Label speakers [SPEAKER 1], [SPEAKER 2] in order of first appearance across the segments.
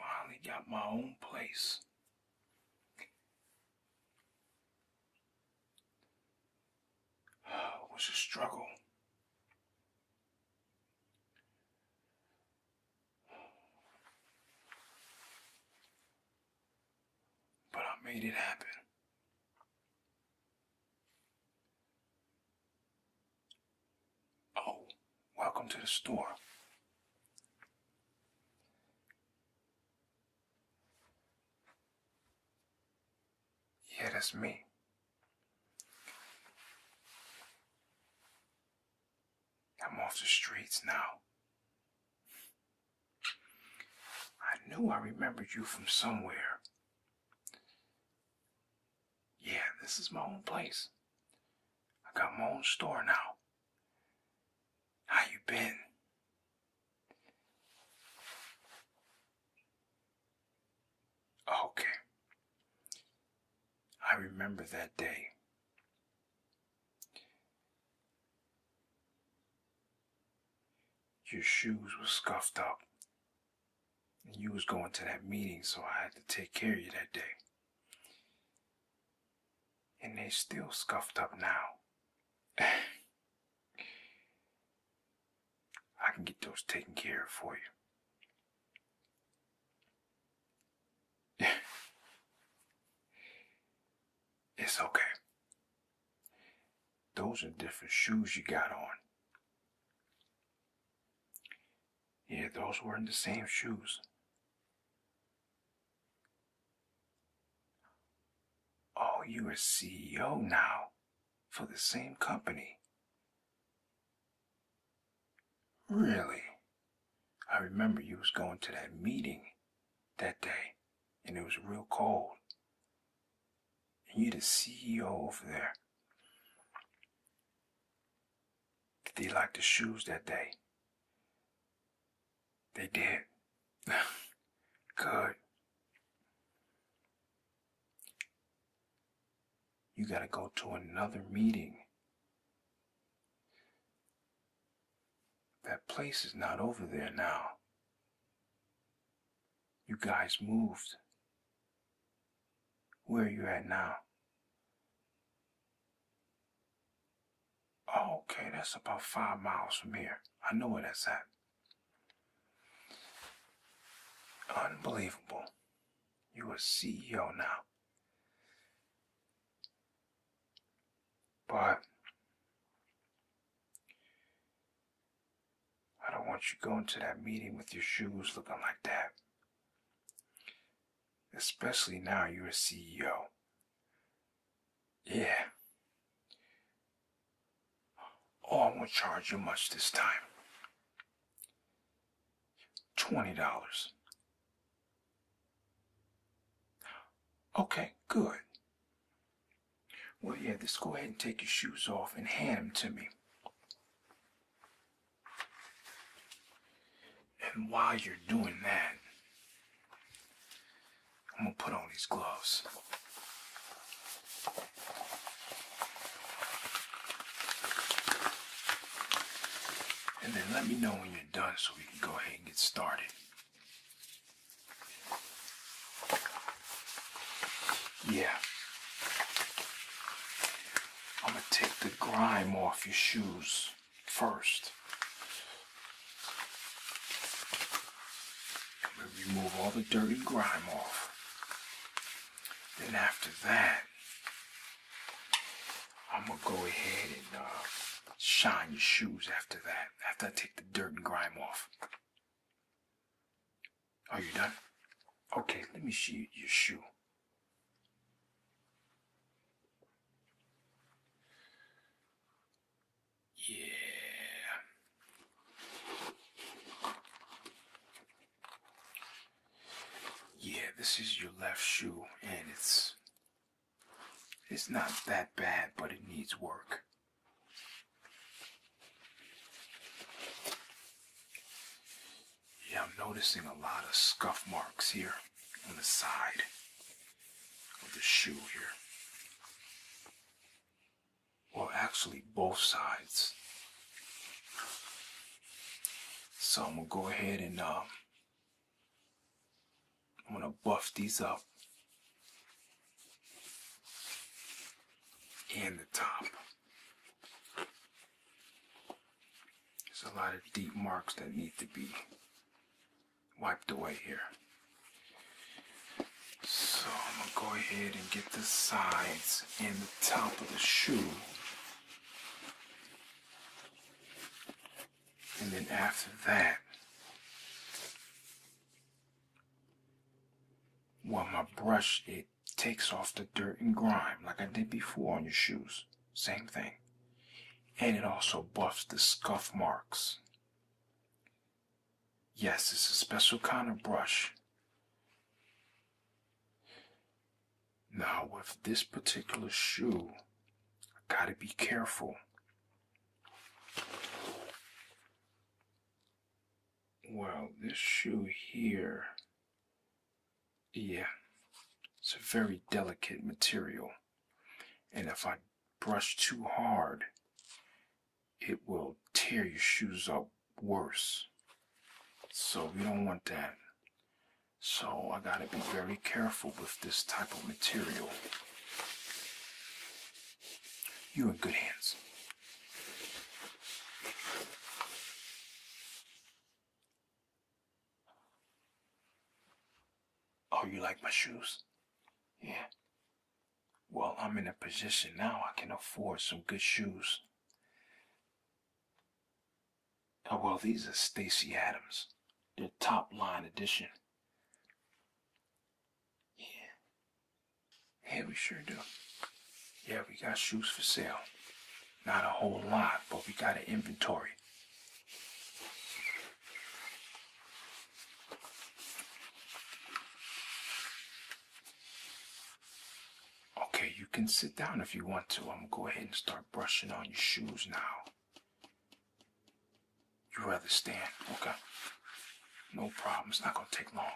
[SPEAKER 1] Finally got my own place. It was a struggle. But I made it happen. Oh, welcome to the store. Yeah, that's me. I'm off the streets now. I knew I remembered you from somewhere. Yeah, this is my own place. I got my own store now. How you been? Okay. I remember that day. Your shoes were scuffed up. And you was going to that meeting, so I had to take care of you that day. And they still scuffed up now. I can get those taken care of for you. it's okay. Those are different shoes you got on. Yeah, those weren't the same shoes. Oh, you're a CEO now for the same company. Really? I remember you was going to that meeting that day, and it was real cold. And you the CEO over there. Did they like the shoes that day? They did. Good you got to go to another meeting. That place is not over there now. You guys moved. Where are you at now? Oh, okay, that's about five miles from here. I know where that's at. Unbelievable. You're a CEO now. But I don't want you going to that meeting with your shoes looking like that. Especially now you're a CEO. Yeah. Oh, I won't charge you much this time. $20. Okay, good. Well, yeah, just go ahead and take your shoes off and hand them to me. And while you're doing that, I'm gonna put on these gloves. And then let me know when you're done so we can go ahead and get started. Yeah. I'm going to take the grime off your shoes first. remove all the dirty grime off. Then after that, I'm gonna go ahead and uh, shine your shoes after that. After I take the dirt and grime off. Are you done? Okay, let me see your shoe. Yeah. Yeah, this is your left shoe, and it's it's not that bad, but it needs work. Yeah, I'm noticing a lot of scuff marks here on the side of the shoe here well, actually, both sides. So I'm gonna go ahead and um, I'm gonna buff these up and the top. There's a lot of deep marks that need to be wiped away here. So I'm gonna go ahead and get the sides and the top of the shoe. And then after that, well, my brush, it takes off the dirt and grime like I did before on your shoes. Same thing. And it also buffs the scuff marks. Yes, it's a special kind of brush. Now, with this particular shoe, I gotta be careful. Well, this shoe here, yeah, it's a very delicate material. And if I brush too hard, it will tear your shoes up worse. So we don't want that. So I gotta be very careful with this type of material. You're in good hands. Oh, you like my shoes? Yeah. Well, I'm in a position now I can afford some good shoes. Oh, well, these are Stacy Adams, They're top line edition. Yeah. Yeah, we sure do. Yeah, we got shoes for sale. Not a whole lot, but we got an inventory. Okay, you can sit down if you want to. I'm gonna go ahead and start brushing on your shoes now. You rather stand? Okay. No problem. It's not gonna take long.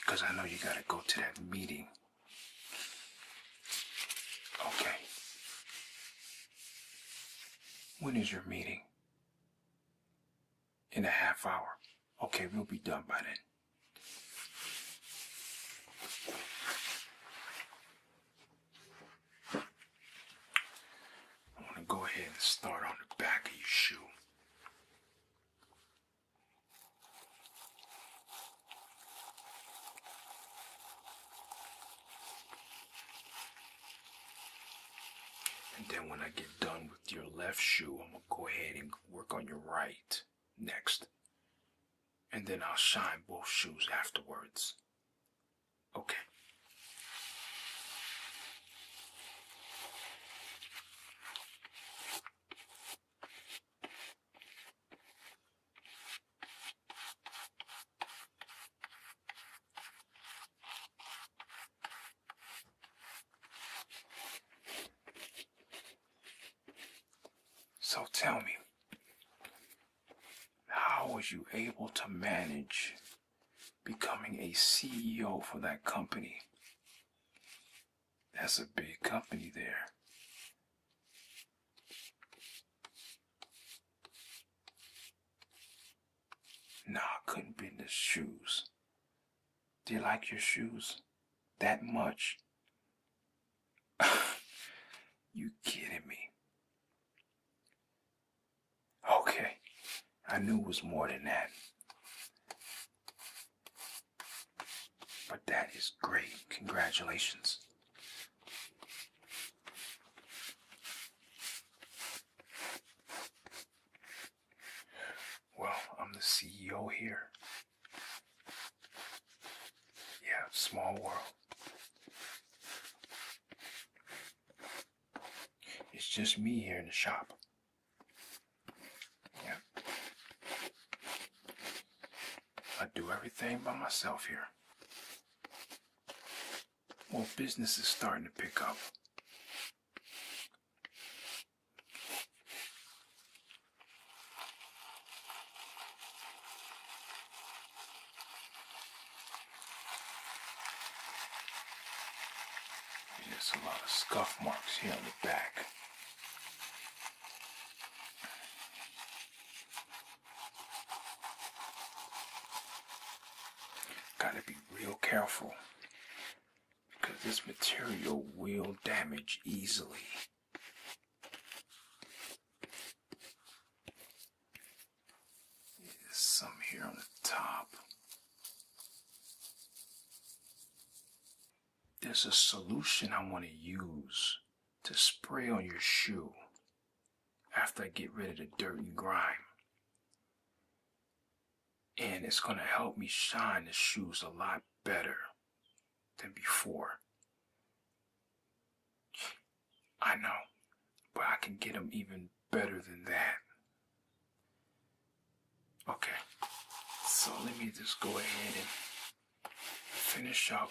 [SPEAKER 1] Because I know you gotta go to that meeting. Okay. When is your meeting? in a half hour. Okay, we'll be done by then. I want to go ahead and start on the back of your shoe. And then when I get done with your left shoe. I'm going to go ahead and work on your right next. And then I'll shine both shoes afterwards. Okay. So tell me, how was you able to manage becoming a CEO for that company? That's a big company there. Nah, I couldn't be in the shoes. Do you like your shoes that much? you kidding me? Okay, I knew it was more than that. But that is great. Congratulations. Well, I'm the CEO here. Yeah, small world. It's just me here in the shop. Yeah. I do everything by myself here. Well, business is starting to pick up. There's a lot of scuff marks here on the back. Gotta be real careful because this material will damage easily. There's some here on the top. There's a solution I want to use to spray on your shoe after I get rid of the dirt and grime and it's going to help me shine the shoes a lot better than before. I know, but I can get them even better than that. Okay, so let me just go ahead and finish up.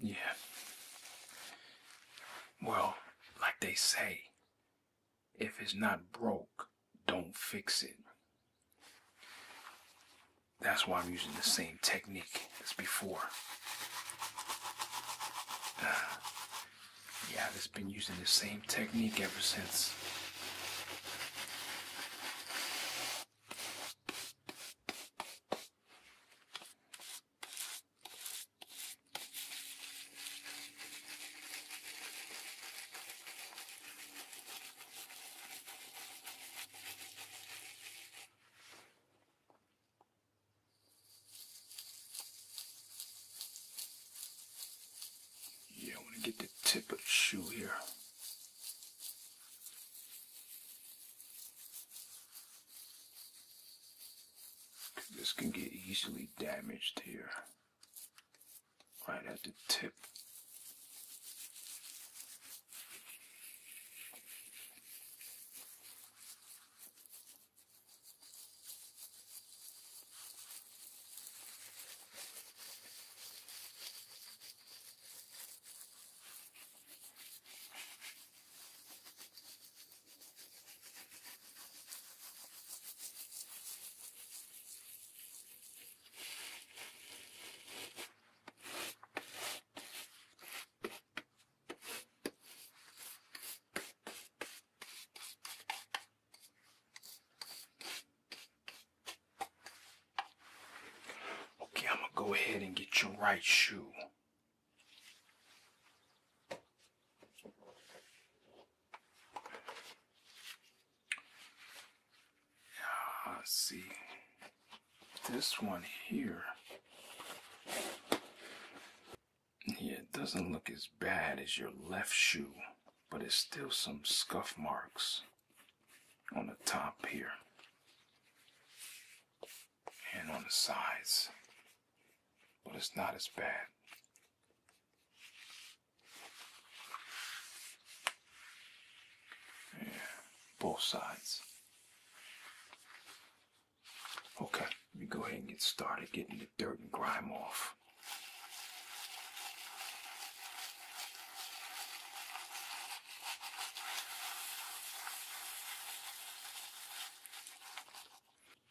[SPEAKER 1] Yeah. Well, like they say, if it's not broke, don't fix it. That's why I'm using the same technique as before. yeah, I've been using the same technique ever since. Yeah, I want to get the tip of the shoe here. This can get easily damaged here, right at the tip. Okay, I'm gonna go ahead and get your right shoe. Yeah, see, this one here. Yeah, it doesn't look as bad as your left shoe, but it's still some scuff marks on the top here and on the sides, but it's not as bad. Yeah, both sides. Okay, let me go ahead and get started getting the dirt and grime off.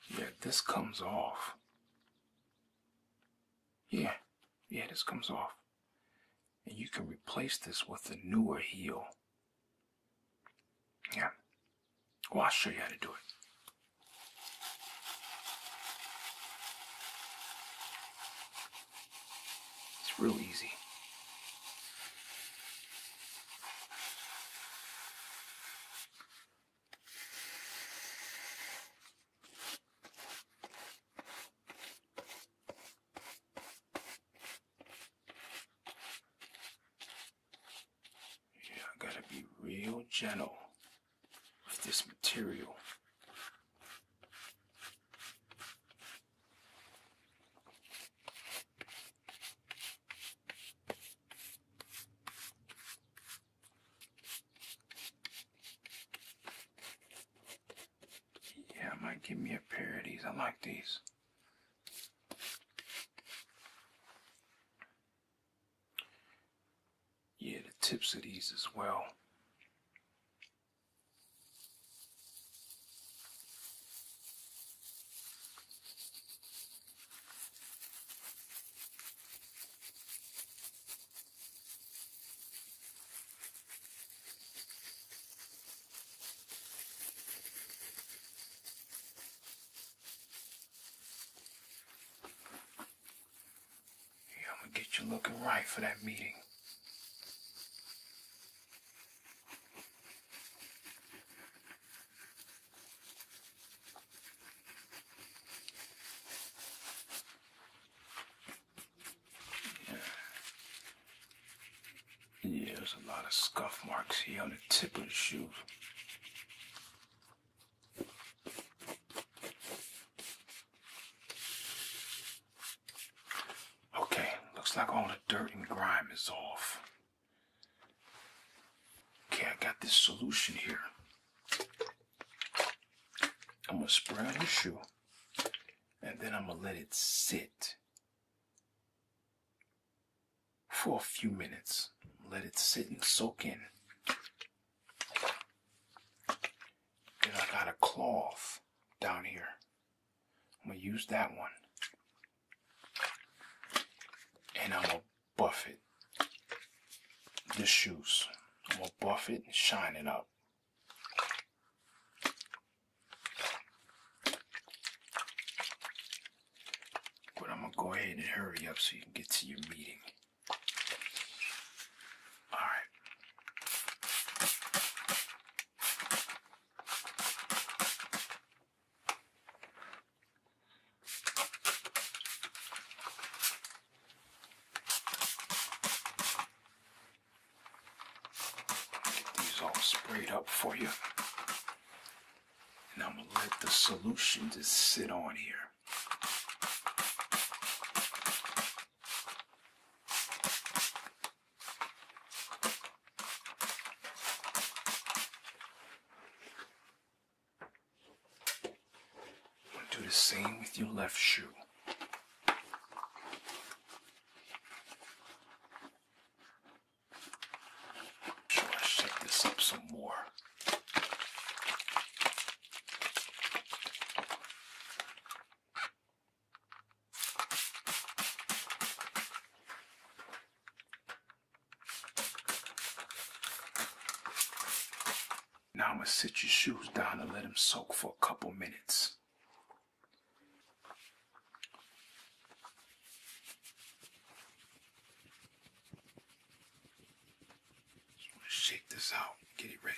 [SPEAKER 1] Yeah, this comes off. Yeah, yeah, this comes off. And you can replace this with a newer heel. Yeah. Well, I'll show you how to do it. It's real easy. Yeah, I gotta be real gentle with this material. Yeah, I might give me a pair of these. I like these. Yeah, the tips of these as well. Yeah, I'm gonna get you looking right for that meeting. Yeah, there's a lot of scuff marks here on the tip of the shoe. Okay, looks like all the dirt and grime is off. Okay, I got this solution here. I'm gonna spray on your shoe and then I'm gonna let it sit for a few minutes. Let it sit and soak in. Then I got a cloth down here. I'm gonna use that one and I'm gonna buff it. The shoes. I'm gonna buff it and shine it up. But I'm gonna go ahead and hurry up so you can get to your meeting. Alright. Get these all sprayed up for you. And I'm going to let the solution just sit on here. Do the same with your left shoe. Should I shake this up some more? Now I'm going to sit your shoes down and let them soak for a couple minutes. Just want to shake this out, get it ready.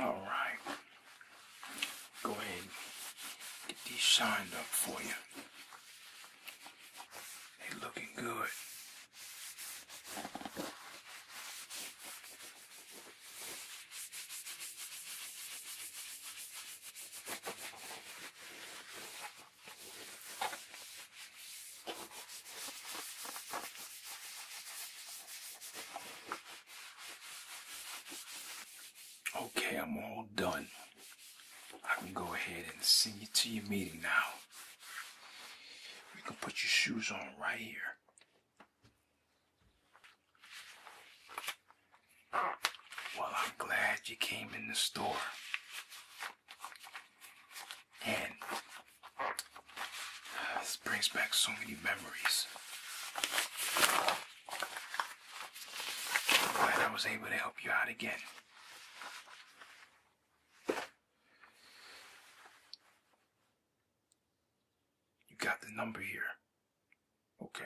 [SPEAKER 1] All right. Go ahead get these signed up for you. They looking good. Okay, I'm all done. I can go ahead and send you to your meeting now. You can put your shoes on right here. Well, I'm glad you came in the store. And this brings back so many memories. glad I was able to help you out again. You got the number here. Okay.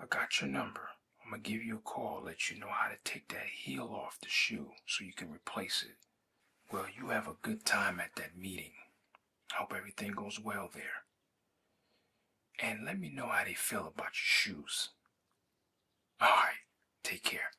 [SPEAKER 1] I got your number. I'm going to give you a call, let you know how to take that heel off the shoe so you can replace it. Well, you have a good time at that meeting. Hope everything goes well there. And let me know how they feel about your shoes. All right. Take care.